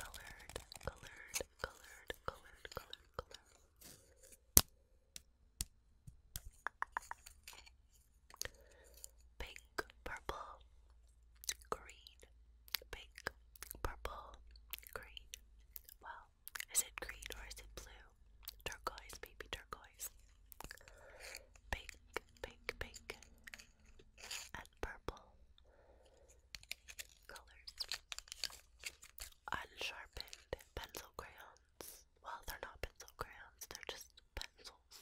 colored, colored, colored, colored, colored, colored. Pink, purple, green, pink, purple, green. Well, is it green or is it blue? Turquoise, baby turquoise. Pink, pink, pink and purple colors. Unsharpened pencil crayons. Well, they're not pencil crayons, they're just pencils.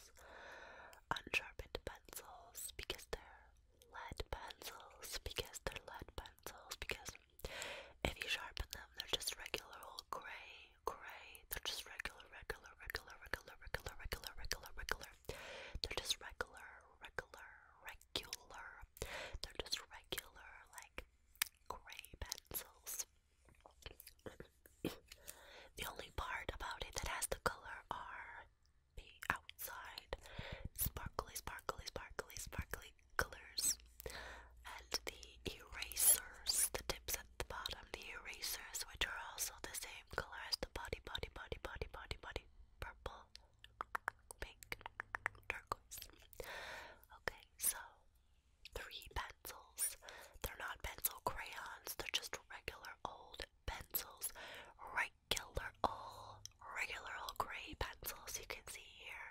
Unsharpened pencils because they're lead pencils, because they're lead pencils, because if you sharpen them, they're just regular old gray, gray, they're just regular, regular, regular, regular, regular, regular, regular, regular, they're just regular, regular, regular. They're just regular, like gray pencils. the only part about it that has the color are the outside sparkly, sparkly, sparkly, sparkly colors and the erasers, the tips at the bottom the erasers, which are also the same color as the body, body, body, body, body, body, purple, pink, turquoise. Okay, so three pencils. They're not pencil crayons, they're just regular old pencils. Regular old, regular old gray pencils you can see here.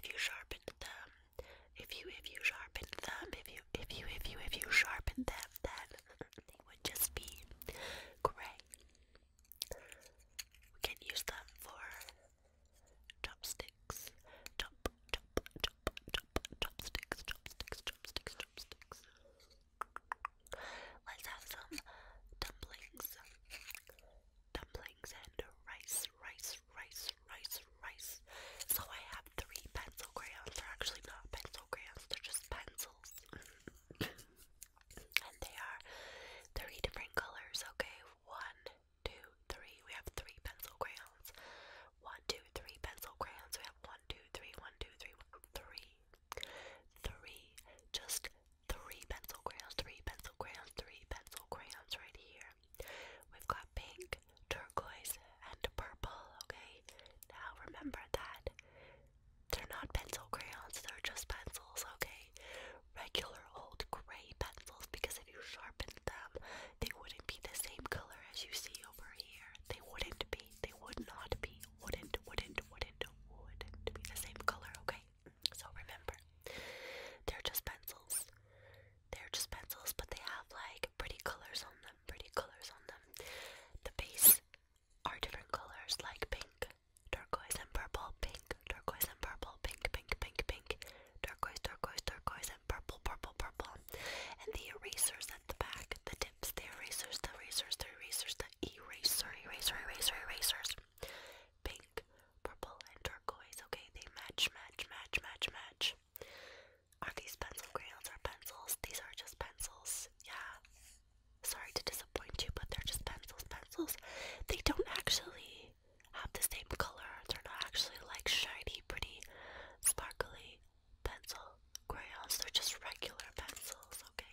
If you sharpened them, if you if you sharpen them, if you if you if you if you sharpen them, then they would just be great. We can use them for chopsticks. Chop chop chop chop chopsticks, chopsticks, chopsticks. Let's have some dumplings. Dumplings and rice rice, rice, rice, rice, So I have three pencil crayons. They're actually not pencil crayons, they're just pencils. and they are three different colors, okay? One, two, three. We have three pencil crayons. One, two, three pencil crayons. We have one, two, three, one, two, three, one, three. Three. Just three pencil crayons, three pencil crayons, three pencil crayons right here. We've got pink, turquoise, and purple, okay? Now remember that they're not pencil crayons, they're just pencils, okay? Regular old gray pencils because if you sharpened them, they wouldn't be the same color as you see over here. They wouldn't be, they would not be, wouldn't, wouldn't, wouldn't, wouldn't be the same color, okay? So remember, they're just pencils. They're just pencils, but they have like pretty colors on them. Pretty colors on them. The base are different colors, like pink, turquoise, and purple. Pink, turquoise, and purple. Pink, pink, pink, pink. Turquoise, turquoise, turquoise, and purple, purple, purple. And the erasers at the back, the tips, the erasers, the erasers, the erasers, the eraser, eraser, eraser, erasers pink, purple, and turquoise. Okay, they match, match, match, match, match. Are these pencil crayons or pencils? These are just pencils. Yeah. Sorry to disappoint you, but they're just pencils. Pencils. They don't actually have the same color. They're not actually like shiny, pretty, sparkly pencil crayons. They're just regular pencils. Okay,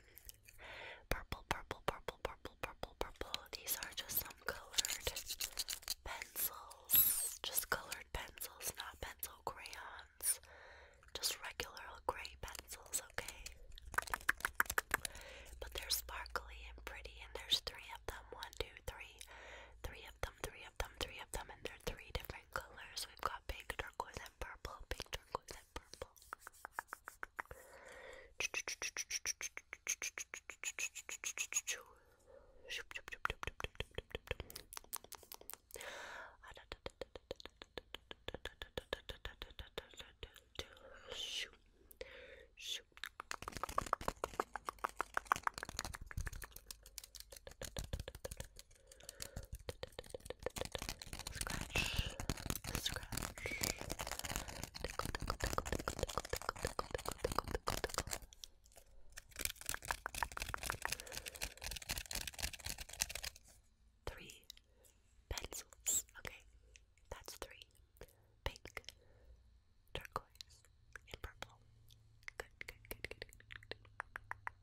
Purple, purple, purple, purple, purple, purple. These are just some colored pencils. Just colored pencils, not pencil crayons. Just regular gray pencils, okay? But they're sparkly and pretty, and there's three of them. One, two, three. Three of them, three of them, three of them, and they're three different colors. We've got pink, turquoise, that purple, pink turquoise, that purple. Scratch, Three pencils. Okay, that's three. Pink, turquoise, and purple. good, good, good, good.